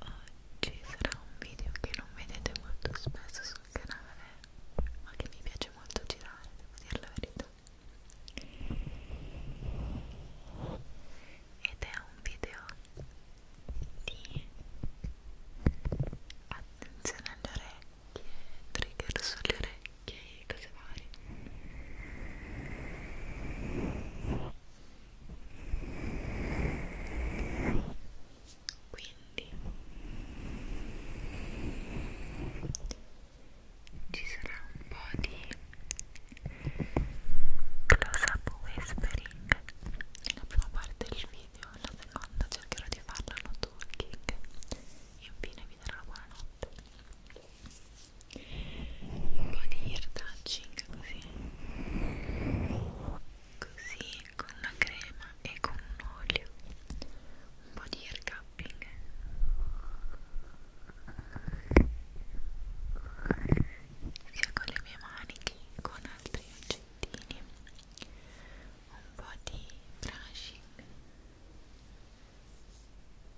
Oggi sarà un video che non vedete molto spesso sul canale, ma che mi piace molto girare, devo dire la verità. Ed è un video di attenzione alle orecchie, trigger sulle orecchie e cose varie quindi ci sarà un po' di close up whispering la prima parte del video la seconda cercherò di farla no talking infine vi darò la buonanotte un po' di ear touching così così con la crema e con un olio un po' di ear cupping sia con le mie mani che con altri oggettini un po' di brushing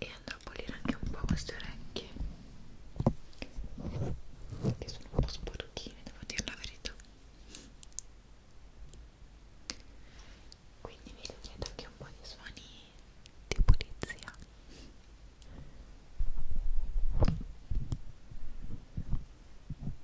e andrò a pulire anche un po' queste orecchie che sono un po' sporchine devo dire la verità quindi vi chiedo anche un po' di suoni di pulizia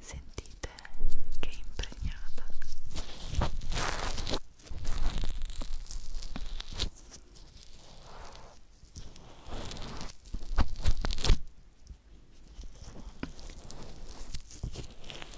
Sentite che impregnata.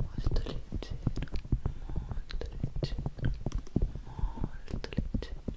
molto leggero molto leggero molto leggero molto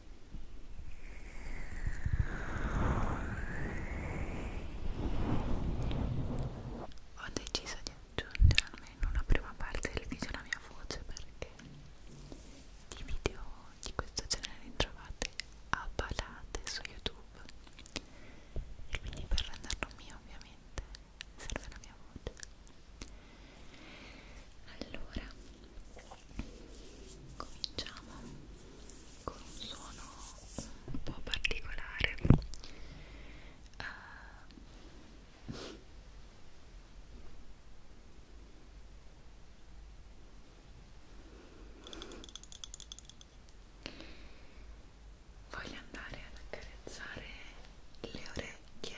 Ho deciso di aggiungere almeno una prima parte del video alla mia voce perché i video di questo genere li trovate a palate su YouTube e quindi per renderlo mio ovviamente serve la mia voce. Allora cominciamo con un suono un po' particolare uh. voglio andare ad accarezzare le orecchie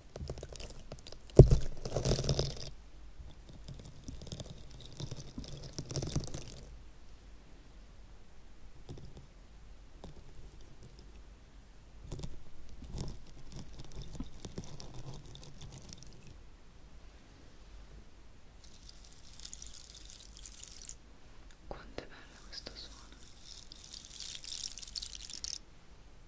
Quanto è bello questo suono?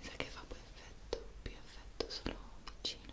mi sa che fa più effetto, più effetto solo vicino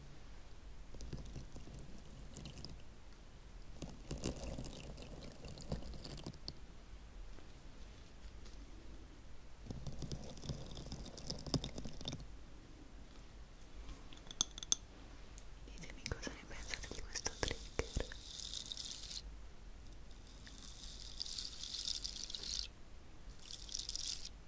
Ditemi cosa ne pensate di questo trigger. Io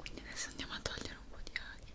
Quindi adesso andiamo a togliere un po' di aghi.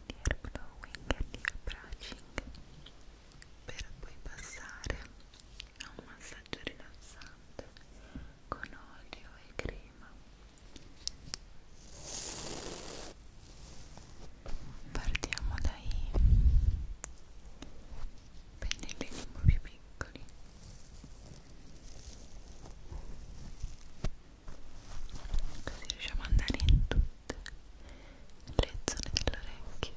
and ear blowing and ear brushing per poi passare a un massaggio rilassante con olio e crema partiamo dai pennellini un po' più piccoli così riusciamo ad andare in tutte le zone dell'orecchio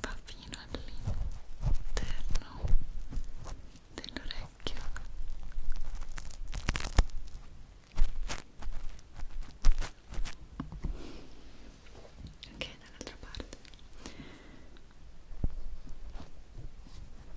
va fino all'interno dell'orecchio ok dall'altra parte ok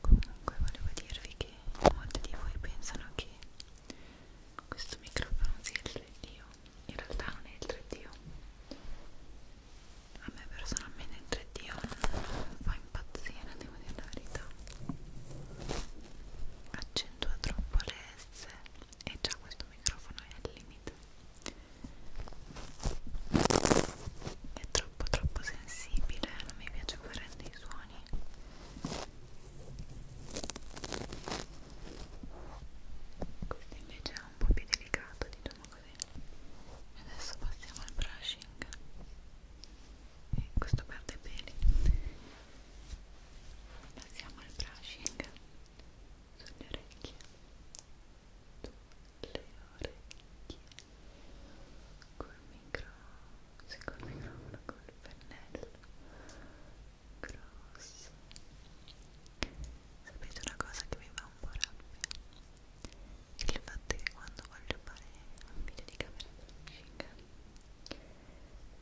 Comunque volevo dirvi che molti di voi pensano che questo microfono sia il 3D, in realtà non è il 3D. A me personalmente il 3D non fa impazzire, devo dire la verità. Accentua troppo le S e già questo microfono è al limite. È troppo troppo sensibile, non mi piace fare dei suoni mani questo invece è un po' più delicato diciamo così e adesso passiamo al brushing e questo perde peli passiamo al brushing sulle orecchie sulle orecchie col micro, sì, col microfono, col pennello grosso sapete una cosa che mi fa un po' rabbia? il fatto che quando voglio fare un video di camera flushing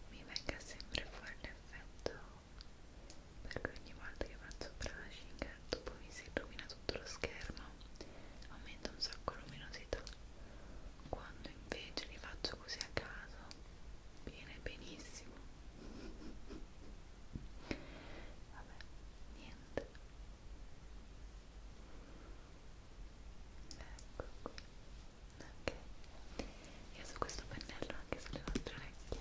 mi venga sempre fuori l'effetto perché ogni volta che faccio brushing dopo mi si illumina tutto lo schermo fa aumenta un sacco luminosità quando invece li faccio così a caso viene benissimo vabbè niente ecco qui ok io su questo pennello anche sulle altre orecchie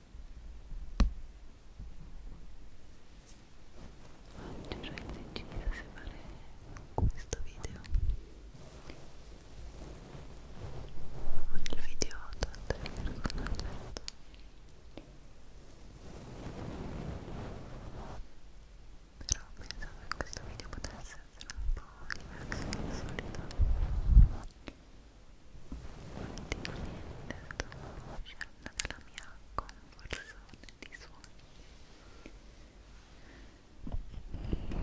Oggi ero indecisa se fare questo video o il video tanto con Alberto però pensavo che questo video potesse essere un po' diverso dal solito niente, sto uscendo dalla mia conversione di suoni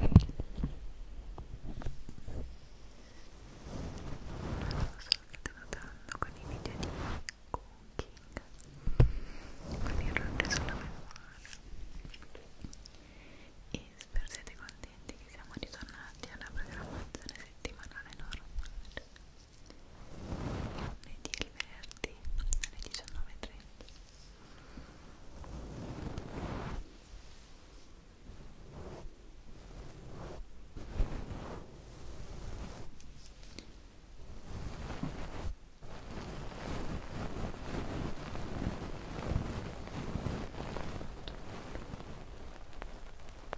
non so se state notando con i video di cooking con il rock sulla memoria e spero siete contenti che siamo ritornati alla programmazione settimanale normale lunedì e il venerdì alle 19.30 Ora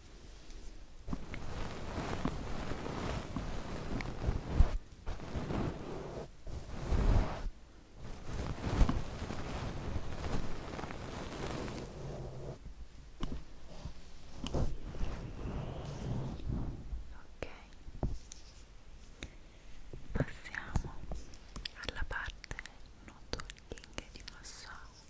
Ok, passiamo alla parte notoling di massaggio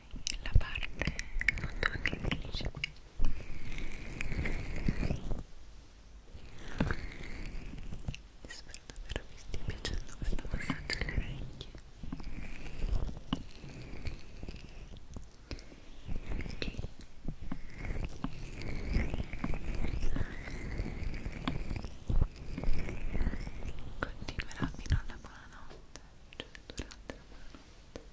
la parte che dice qui spero davvero vi stia piacendo questo passaggio alle orecchie okay. Continuerà fino alla buonanotte, cioè durante la buonanotte.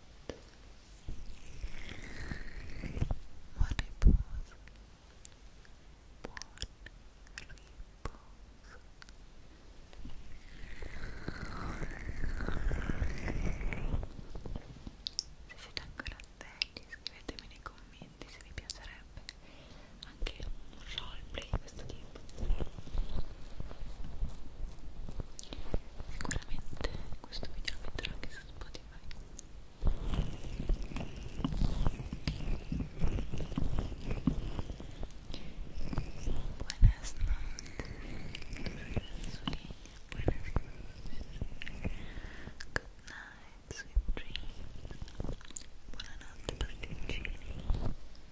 Buon riposo. Buon riposo. Se siete ancora attenti, scrivetemi nei commenti se vi piacerebbe anche un roleplay di questo tipo Sicuramente questo video lo metterò anche su Spotify. Buenas noches, buenas noches. Good night, sweet dreams. Buonanotte, pasticcini. Buonanotte,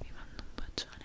vi mando un bacione